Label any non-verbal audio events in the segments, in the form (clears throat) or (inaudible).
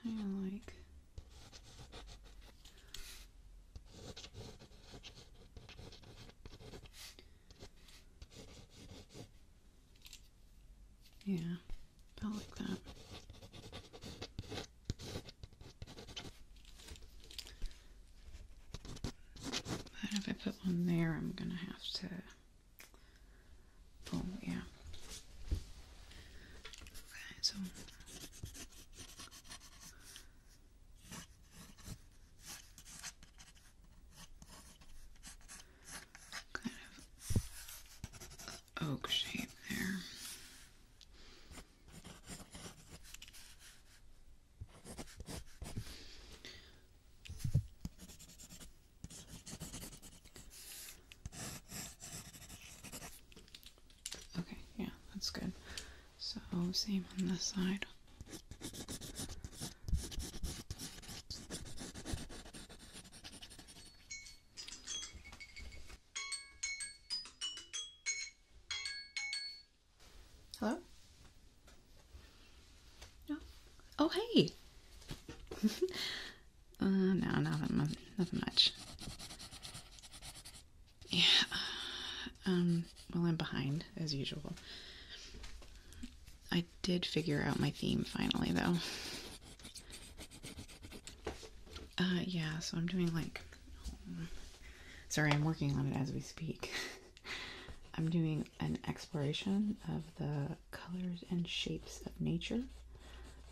Kind of like yeah, about like that. But if I put one there, I'm going to have to... Oh, yeah. Okay, so... Kind of oak shape there. Okay, yeah, that's good. So, same on this side. Hello? No. Oh hey. (laughs) uh, no, nothing, nothing much. Yeah. Uh, um. Well, I'm behind as usual. I did figure out my theme finally, though. Uh, yeah. So I'm doing like. sorry, I'm working on it as we speak. (laughs) I'm doing an exploration of the colors and shapes of nature,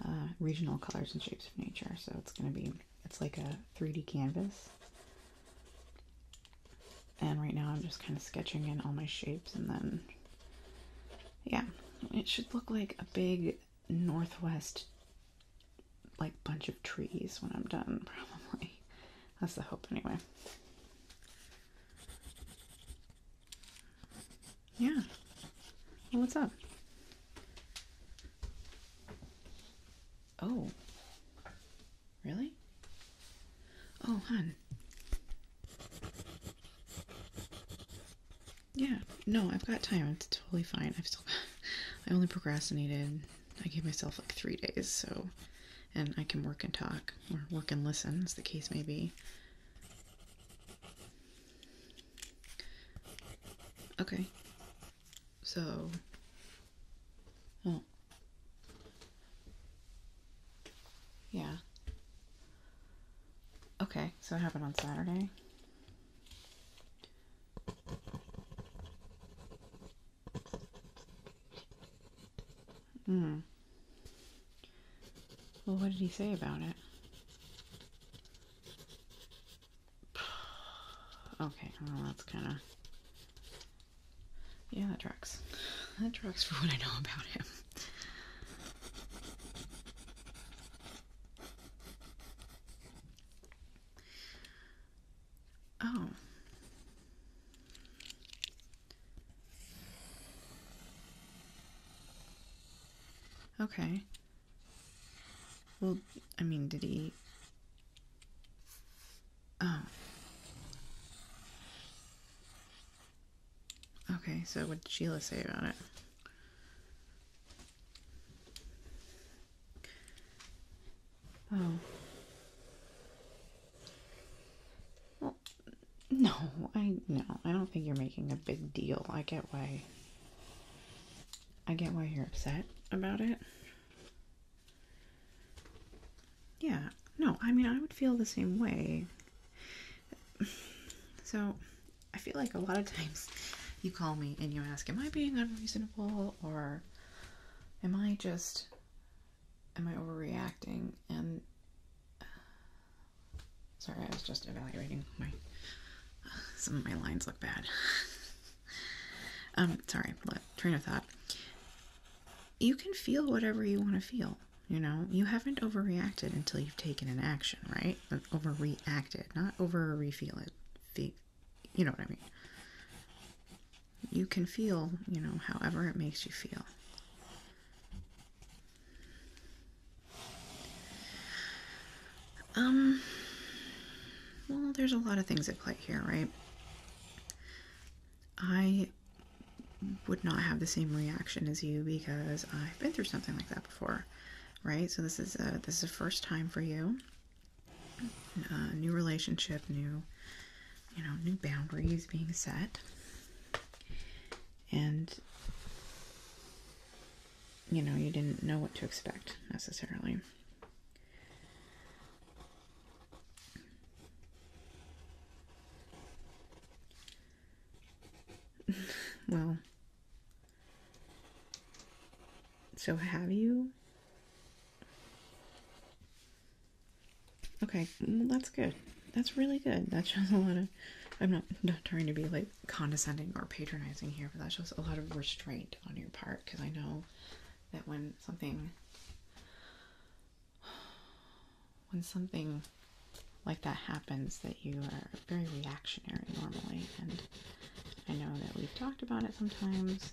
uh, regional colors and shapes of nature. So it's going to be, it's like a 3D canvas. And right now I'm just kind of sketching in all my shapes and then, yeah, it should look like a big northwest like bunch of trees when I'm done, (laughs) probably. That's the hope anyway. Yeah. Well, what's up? Oh. Really? Oh, hun. Yeah. No, I've got time. It's totally fine. I've still I only procrastinated. I gave myself like 3 days, so and I can work and talk or work and listen, as the case may be. Okay. So, well, yeah. Okay, so it happened on Saturday. Hmm. Well, what did he say about it? (sighs) Okay, well, that's kind of. Yeah, that tracks. (laughs) That tracks for what I know about him. Oh. Okay. Well, I mean, did he. Oh. Okay, so what did Sheila say about it? Oh no, I no, I don't think you're making a big deal. I get why. I get why you're upset about it. Yeah, no, I mean, I would feel the same way. So, I feel like a lot of times you call me and you ask, Am I being unreasonable? Or am I just am I overreacting? And uh, sorry, I was just evaluating my (sighs) some of my lines look bad. (laughs) um, sorry, train of thought. You can feel whatever you want to feel. You know, you haven't overreacted until you've taken an action, right? Overreacted, not over refeel it. You know what I mean? you can feel, you know, however it makes you feel. Um, well, there's a lot of things at play here, right? I would not have the same reaction as you because I've been through something like that before, right? So this is a this is a first time for you. Uh, new relationship, new you know, new boundaries being set. And you know, you didn't know what to expect necessarily. (laughs) well, so have you? Okay, mm, that's good. That's really good. That shows a lot of. I'm not, trying to be like condescending or patronizing here, but that shows a lot of restraint on your part because I know that when something. When something like that happens, that you are very reactionary normally, and I know that we've talked about it sometimes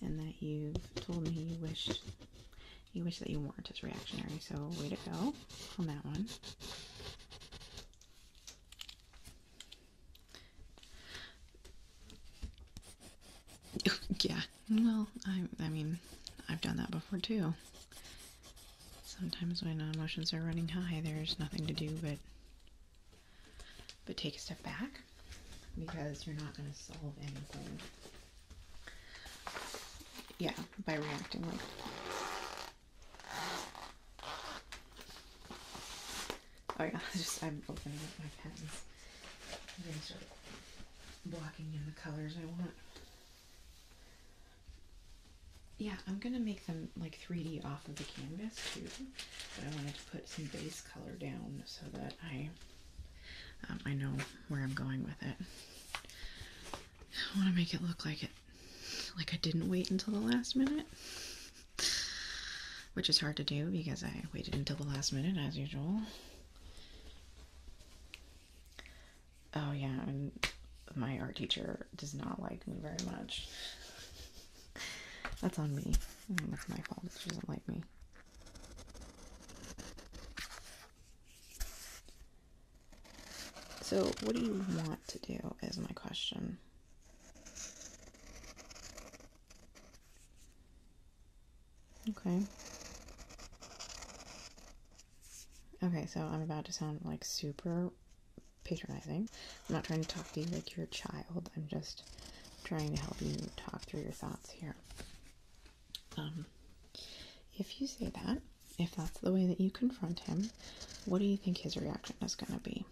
and that you've told me you wish you wish that you weren't as reactionary. So way to go on that one. (laughs) yeah. Well, I I mean, I've done that before too. Sometimes when uh, emotions are running high, there's nothing to do but but take a step back because you're not going to solve anything yeah, by reacting like Oh yeah, (laughs) just I'm opening up my pens. I'm gonna start blocking in the colors I want. Yeah, I'm gonna make them like 3D off of the canvas too. But I wanted to put some base color down so that I um, I know where I'm going with it. I want to make it look like it, like I didn't wait until the last minute, which is hard to do because I waited until the last minute as usual. Oh yeah, and my art teacher does not like me very much. That's on me. That's my fault. She doesn't like me. So, what do you want to do? Is my question. Okay. Okay, so I'm about to sound like super patronizing. I'm not trying to talk to you like you're a child. I'm just trying to help you talk through your thoughts here. Um, if you say that, if that's the way that you confront him, what do you think his reaction is going to be?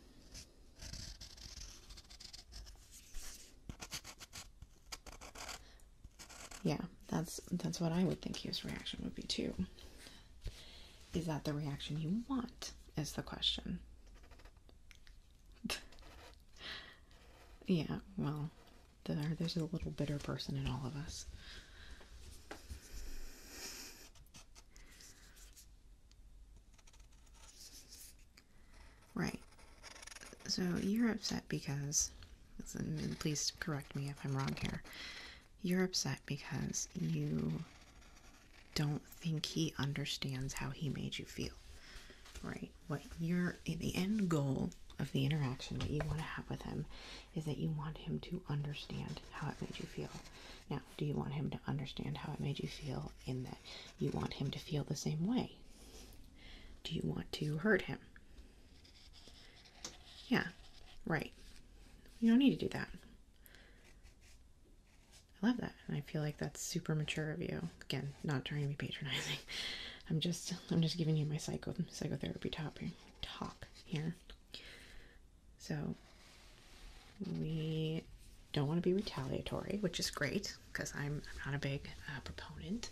Yeah, that's that's what I would think his reaction would be too. Is that the reaction you want? Is the question. (laughs) yeah, well, there, there's a little bitter person in all of us. Right. So you're upset because, please correct me if I'm wrong here, you're upset because you don't think he understands how he made you feel, right? what your the end goal of the interaction that you want to have with him is that you want him to understand how it made you feel. Now, do you want him to understand how it made you feel in that you want him to feel the same way? Do you want to hurt him? Yeah, right. You don't need to do that. I love that. And I feel like that's super mature of you. Again, not trying to be patronizing. I'm just I'm just giving you my psycho psychotherapy topic talk here. So we don't want to be retaliatory, which is great because I'm, not a big uh, proponent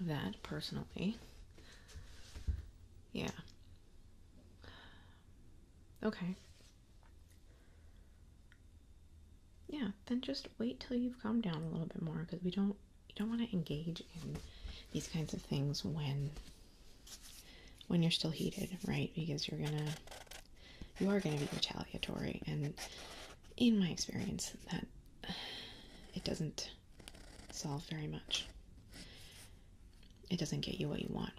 of that personally. Yeah. Okay. Yeah, then just wait till you've calmed down a little bit more because we don't you don't want to engage in these kinds of things when when you're still heated, right? Because you're gonna you are gonna be retaliatory, and in my experience, that it doesn't solve very much. It doesn't get you what you want.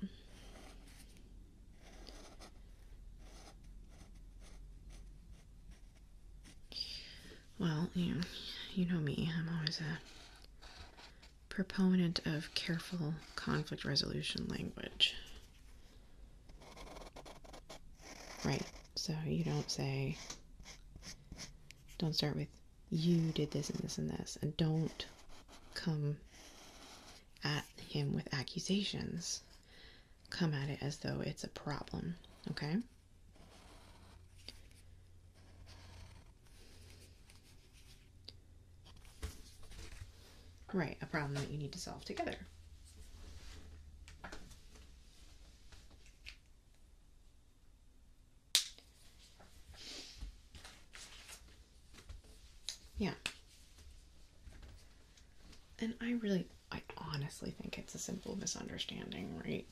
Well, you know, me, I'm always a proponent of careful conflict resolution language. Right, so you don't say, don't start with, you did this and this and this, and don't come at him with accusations. Come at it as though it's a problem, okay? Right, a problem that you need to solve together. Yeah. And I really, I honestly think it's a simple misunderstanding, right?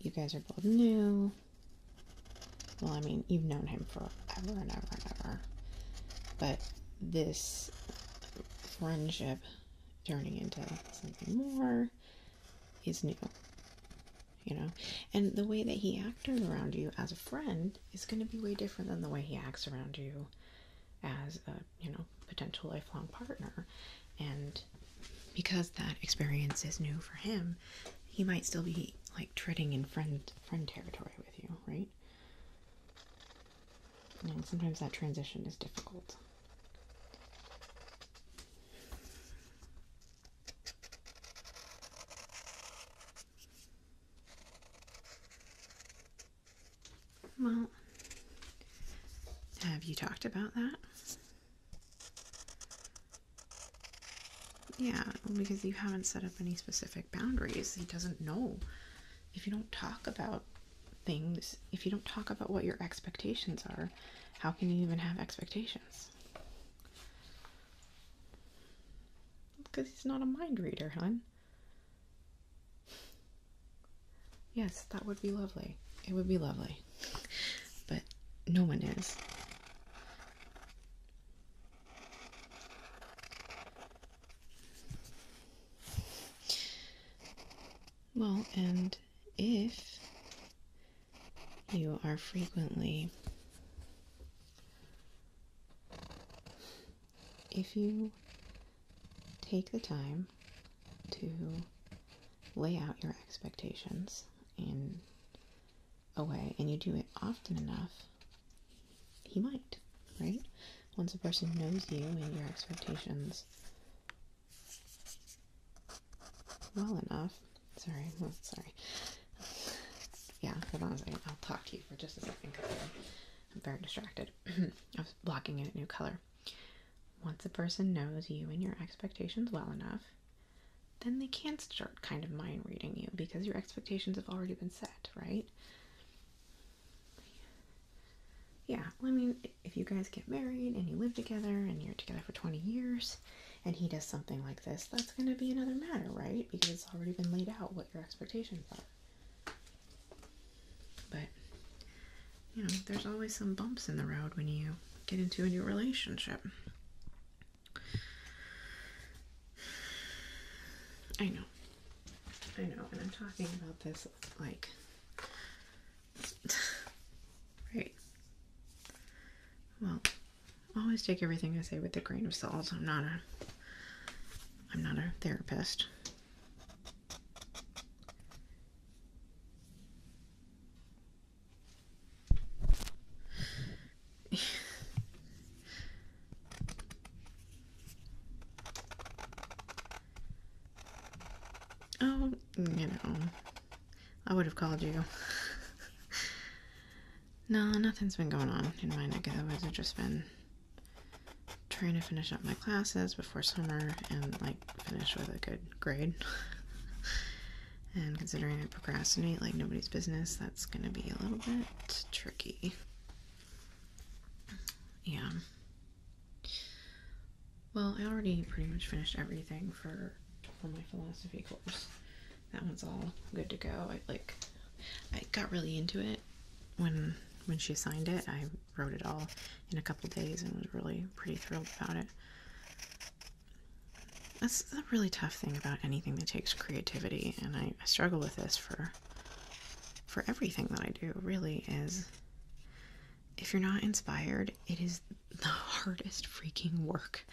You guys are both new. Well, I mean, you've known him forever and ever and ever. But this friendship turning into something more is new. You know? And the way that he acts around you as a friend is going to be way different than the way he acts around you as a, you know, potential lifelong partner. And because that experience is new for him, he might still be like treading in friend friend territory with you, right? sometimes that transition is difficult. Well, have you talked about that? Yeah, because you haven't set up any specific boundaries. He doesn't know. If you don't talk about things, if you don't talk about what your expectations are, how can you even have expectations? Because he's not a mind reader, hon. Yes, that would be lovely. It would be lovely. But no one is. Well, and if you are frequently, if you take the time to lay out your expectations in a way and you do it often enough, he might, right? Once a person knows you and your expectations well enough, sorry, sorry. Yeah, i I'll talk to you for just a second I'm very distracted. (clears throat) I was blocking in a new color. Once a person knows you and your expectations well enough, then they can start kind of mind reading you because your expectations have already been set, right? Yeah, I mean, if you guys get married and you live together and you're together for 20 years and he does something like this, that's going to be another matter, right? Because it's already been laid out what your expectations are. But you know, there's always some bumps in the road when you get into a new relationship. I know. I know, and I'm talking about this like (sighs) right. Well, always take everything I say with a grain of salt. I'm not a I'm not a therapist. (sighs) oh, you know, I would have called you. (laughs) no, nothing's been going on in my neck of the woods. I've just been trying to finish up my classes before summer and, like, finish with a good grade. (laughs) and considering I procrastinate like nobody's business, that's gonna be a little bit tricky. Yeah. Well, I already pretty much finished everything for for my philosophy course. That one's all good to go. I like I got really into it when when she signed it. I wrote it all in a couple days and was really pretty thrilled about it. That's the really tough thing about anything that takes creativity, and I, struggle with this for for everything that I do. Really, is if you're not inspired, it is the hardest freaking work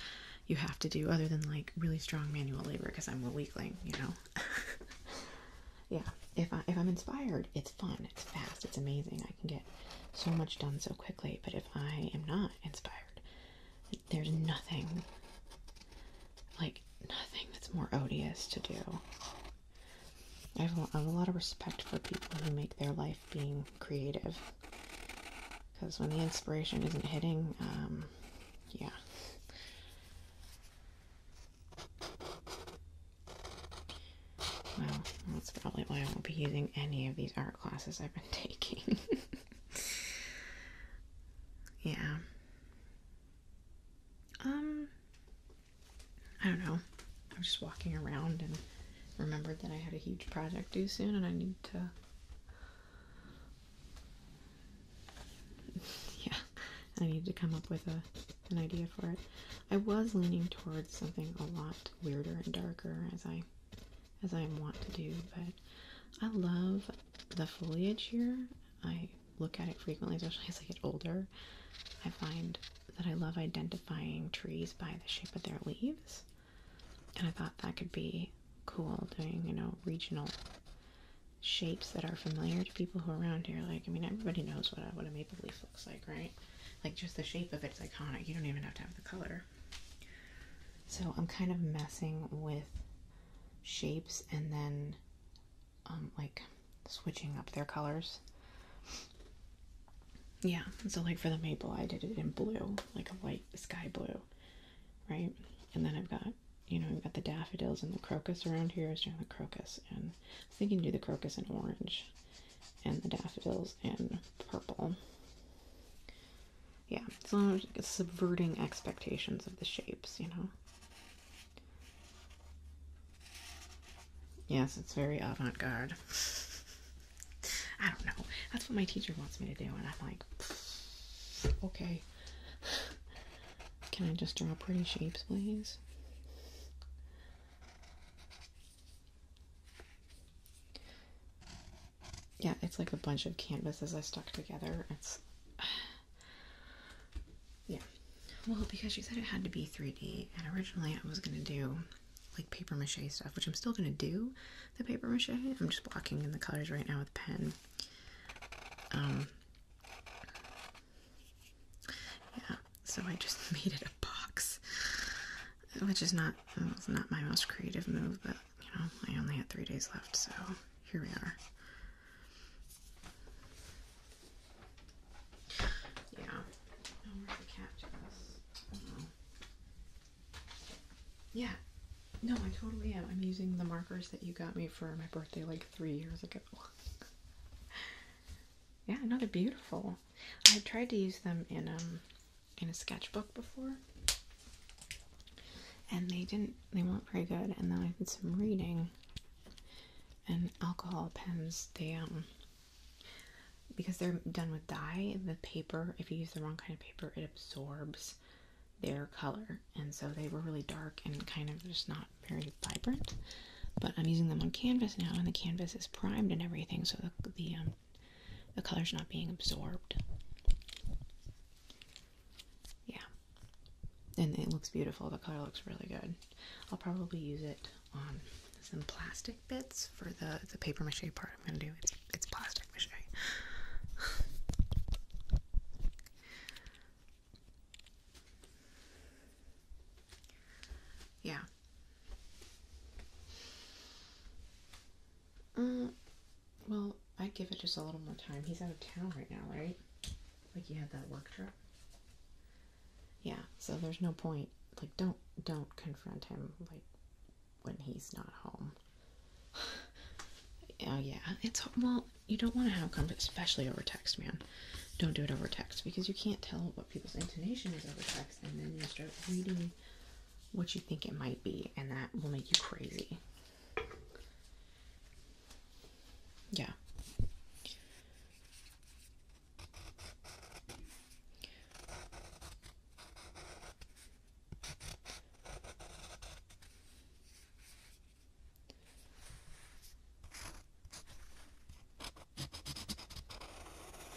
you have to do, other than like really strong manual labor. Because I'm a weakling, you know. (laughs) yeah, if I if I'm inspired, it's it's fun, it's fast, it's amazing. I can get so much done so quickly, but if I am not inspired, there's nothing like nothing that's more odious to do. I have, have a lot of respect for people who make their life being creative because when the inspiration isn't hitting, um, yeah. Well, that's probably why I won't be using any of these art classes I've been (laughs) taking. yeah. Um, I don't know. i was just walking around and remembered that I had a huge project due soon and I need to. (laughs) yeah, I need to come up with a, an idea for it. I was leaning towards something a lot weirder and darker as I as I am wont to do, but I love the foliage here. I look at it frequently, especially as I get older. I find that I love identifying trees by the shape of their leaves. And I thought that could be cool doing, you know, regional shapes that are familiar to people who are around here. Like, I mean, everybody knows what what a maple leaf looks like, right? Like just the shape of it's iconic. You don't even have to have the color. So I'm kind of messing with shapes and then um, like switching up their colors. Yeah, so like for the maple, I did it in blue, like a light sky blue, right? And then I've got, you know, I've got the daffodils and the crocus around here. I was doing the crocus, and I was thinking do the crocus in orange, and the daffodils in purple. Yeah, it's subverting expectations of the shapes, you know? Yes, it's very avant garde. (laughs) I don't know. That's what my teacher wants me to do, and I'm like, okay. Can I just draw pretty shapes, please? Yeah, it's like a bunch of canvases I stuck together. It's (sighs) yeah. Well, because you said it had to be 3D, and originally I was gonna do like paper mache stuff, which I'm still gonna do the paper mache. I'm just blocking in the colors right now with pen. Um yeah, so I just (laughs) made it a box which is not not my most creative move, but you know I only had three days left, so here we are. Yeah, where's the cat Yeah, no, I totally am. I'm using the markers that you got me for my birthday like three years ago. (laughs) Yeah, no, they beautiful. I tried to use them in um in a sketchbook before, and they didn't. They weren't pretty good. And then I did some reading. And alcohol pens, they um because they're done with dye, the paper. If you use the wrong kind of paper, it absorbs their color, and so they were really dark and kind of just not very vibrant. But I'm using them on canvas now, and the canvas is primed and everything, so the, the um, the color's not being absorbed. Yeah. And it looks beautiful. The color looks really good. I'll probably use it on some plastic bits for the, the paper mache part I'm going to do. It's, it's plastic mache. (laughs) yeah. Mm, well, i give it just a little more time. He's out of town right now, right? Like you had that work trip. Yeah, so there's no point. Like, don't don't confront him like when he's not home. (sighs) oh yeah, it's well, you don't want to have conflict, especially over text, man. Don't do it over text because you can't tell what people's intonation is over text, and then you start reading what you think it might be, and that will make you crazy. Yeah.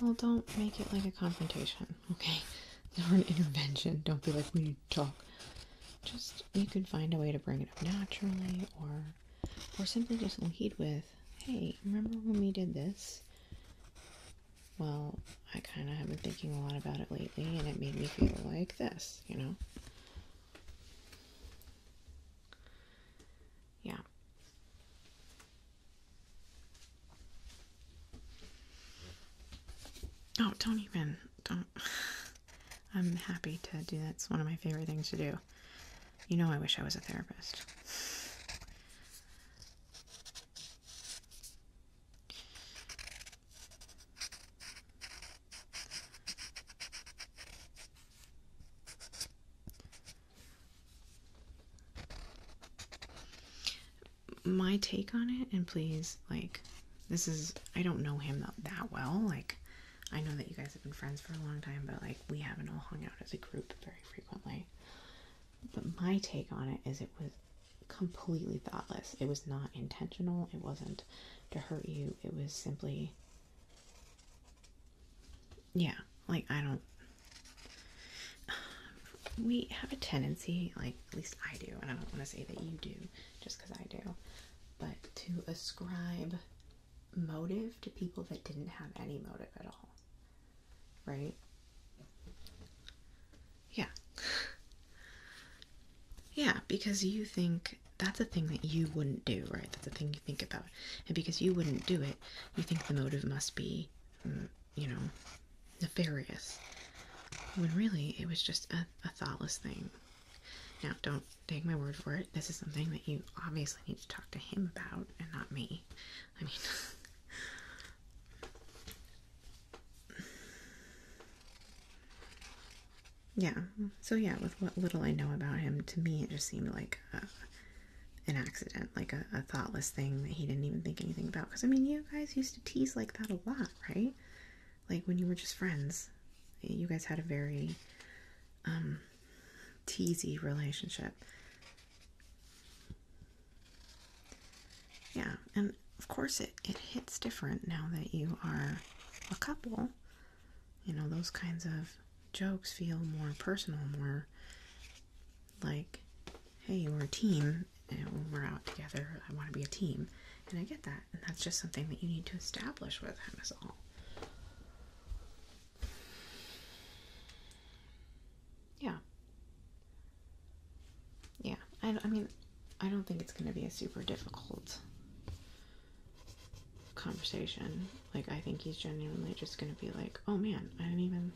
Well, don't make it like a confrontation, okay? (laughs) Or an intervention. Don't be like, we need to talk. Just, you could find a way to bring it up naturally, or, or simply just lead with, hey, remember when we did this? Well, I kind of have been thinking a lot about it lately, and it made me feel like this, you know? Yeah. Oh, don't even. Don't. (sighs) I'm happy to do that. It's one of my favorite things to do. You know, I wish I was a therapist my take on it and please like this is i don't know him that, well like i know that you guys have been friends for a long time but like we haven't all hung out as a group very frequently but my take on it is it was completely thoughtless it was not intentional it wasn't to hurt you it was simply yeah, like I don't. We have a tendency, like at least I do, and I don't want to say that you do just because I do, but to ascribe motive to people that didn't have any motive at all. Right? Yeah. Yeah, because you think that's a thing that you wouldn't do, right? That's a thing you think about. And because you wouldn't do it, you think the motive must be you know, nefarious. When really it was just a, thoughtless thing. Now, don't take my word for it. This is something that you obviously need to talk to him about and not me. I mean, (laughs) yeah. So, yeah, with what little I know about him, to me it just seemed like an accident, like a, thoughtless thing that he didn't even think anything about. Because I mean, you guys used to tease like that a lot, right? Like when you were just friends, you guys had a very um, teasy relationship. Yeah, and of course it, it hits different now that you are a couple. You know, those kinds of jokes feel more personal, more like, hey, we're a team and when we're out together. I want to be a team. And I get that. And that's just something that you need to establish with him, is all. Yeah. Yeah. I, I mean, I don't think it's going to be a super difficult conversation. Like, I think he's genuinely just going to be like, oh man, I didn't even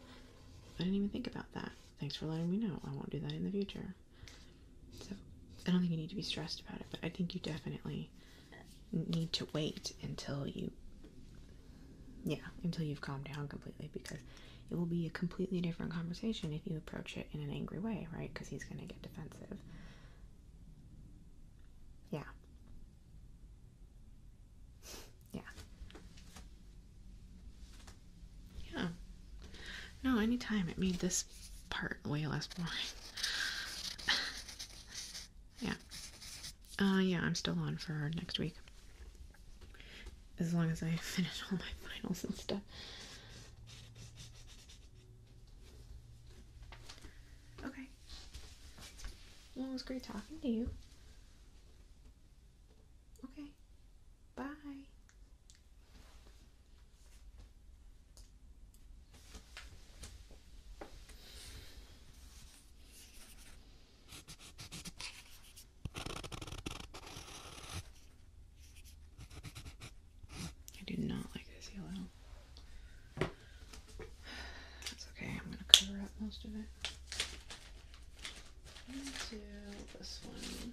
I didn't even think about that. Thanks for letting me know. I won't do that in the future. So, I don't think you need to be stressed about it, but I think you definitely need to wait until you, yeah, until you've calmed down completely because it will be a completely different conversation if you approach it in an angry way, right? Because he's going to get defensive. Yeah. Yeah. Yeah. No, anytime it made this part way less boring. (laughs) yeah. Uh, yeah, I'm still on for next week. As long as I (laughs) finish all my finals and stuff. Okay. Well, it was great talking to you. Okay. Bye. I do not like this yellow. (sighs) That's okay, I'm going to cover up most of it. Let's do this one.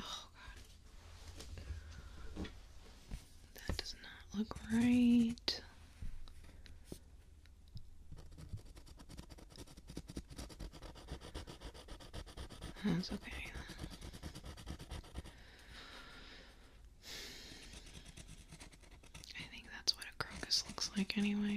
Oh god. That does not look right. That's okay. I think that's what a crocus looks like anyway.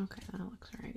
Okay, that looks right.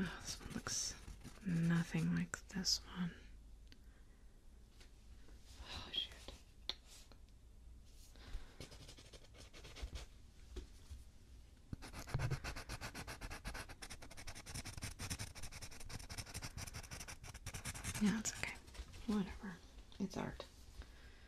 Oh, this one looks nothing like this one. Oh, shoot. Yeah, it's okay. Whatever. It's art.